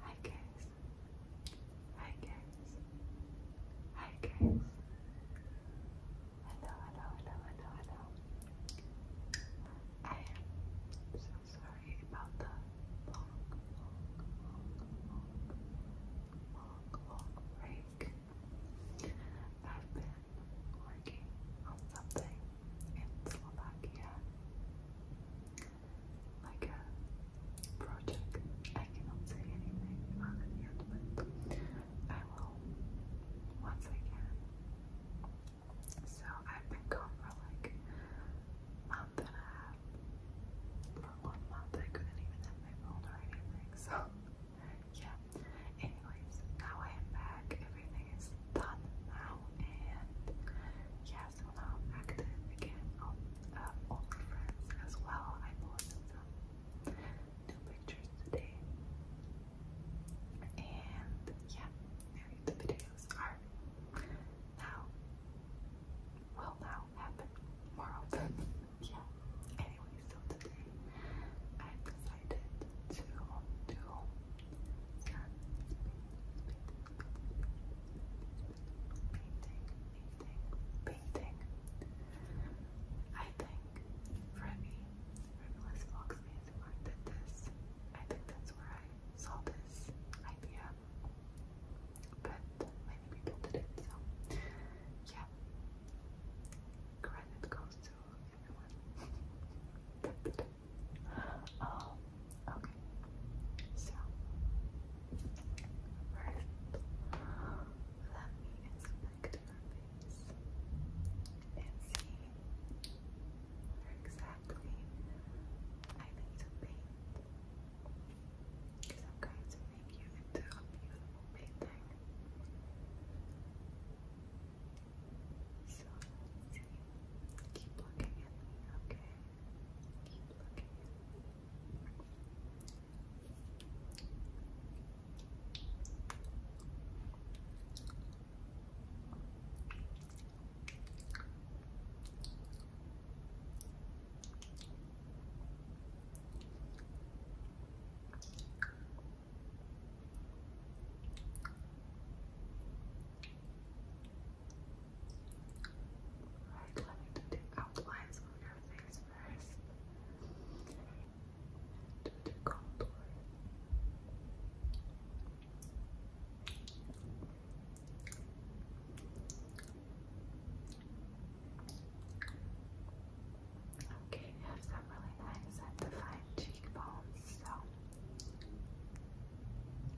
Hi guys. Hi guys. Hi guys. Hello, hello, hello, hello, I am so sorry about the long, long, long, long, long break. I've been working on something in Slovakia, like a project. I cannot say anything about it yet, but I will once I can. So I've been gone for like a month and a half. For one month, I couldn't even have my phone or anything. So yeah. Anyways, now I am back. Everything is is done now, and yeah, so now active again on um, uh, OnlyFriends as well. I posted some new pictures today, and yeah, the videos are now will now happen more yeah. Anyway, so today I decided to do painting, painting. I think for me, I think that's where I saw this idea. But many people did it, so yeah. Credit goes to everyone Um, okay. So first let me inspect her face and see where exactly I need to paint. Because I'm going to make you into a beautiful painting. So let Keep looking at me, okay? Keep looking Alright, let me do the outlines of your face first. Do the contour. Okay, you have some really nice defined cheekbones, so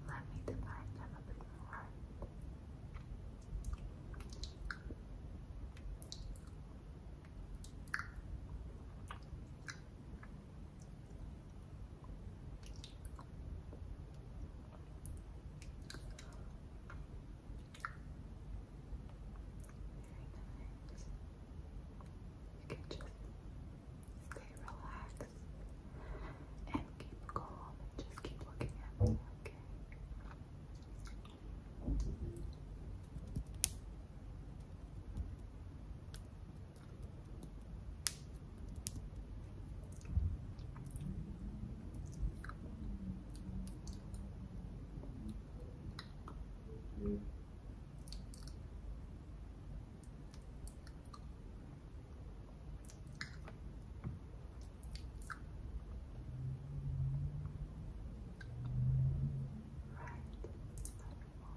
let me define them a bit more. You can just Stay relaxed and keep calm and just keep looking at me, Okay move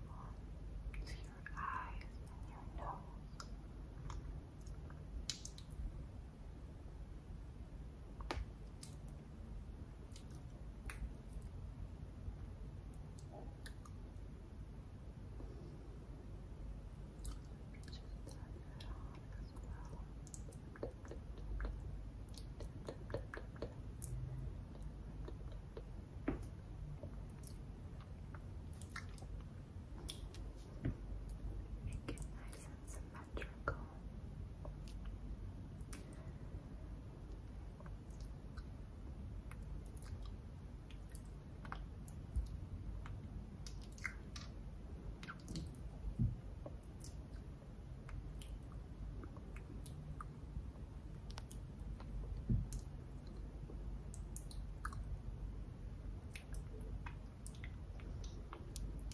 on to your eyes and your nose. Make it nice and symmetrical. Let me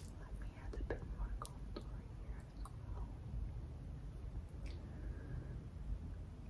add a bit more contour here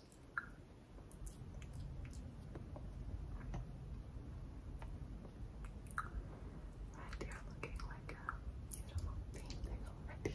And you looking like a beautiful painting already.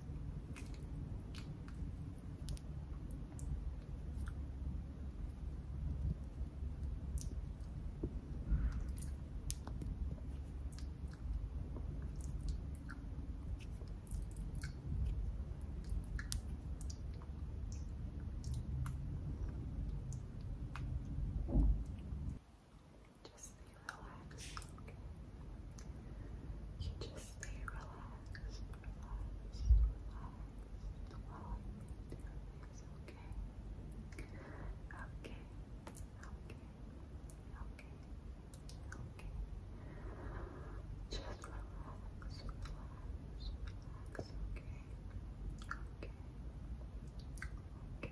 Just be You just Stay relaxed, relaxed, relaxed, relaxed. It's okay. Okay, okay, okay, okay. Just relax, relax, relax, okay. Okay, okay, okay.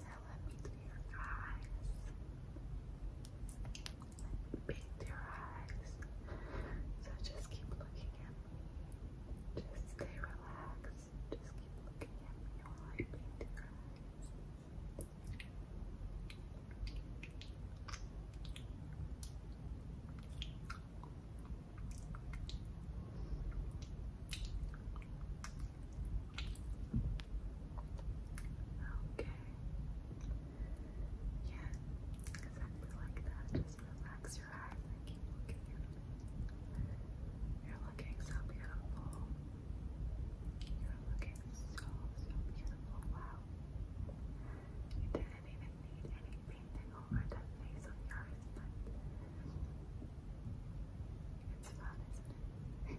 Now let me do your eyes. paint your eyes. So just keep looking at me. Just stay relaxed just just keep looking at me while I paint your eyes. Okay. Yeah, exactly like that. Just relax your You're looking so beautiful. You're looking so, so beautiful. Wow. You didn't even need any painting over that face of yours, but it's fun, isn't it?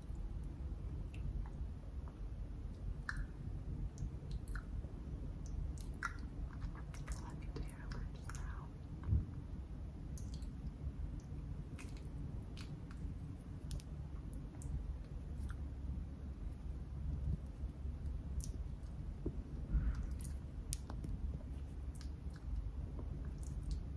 Look into your lips now. Good.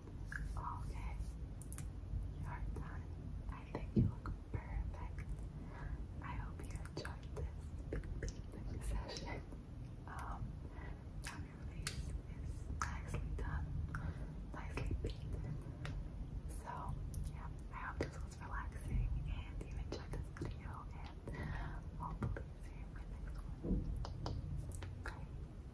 Okay, you're I think you look perfect. I hope you enjoyed this big, session. Um, your face is nicely done, nicely painted. So, yeah, I hope this was relaxing and you enjoyed this video. And hopefully, see you in my next one. Bye.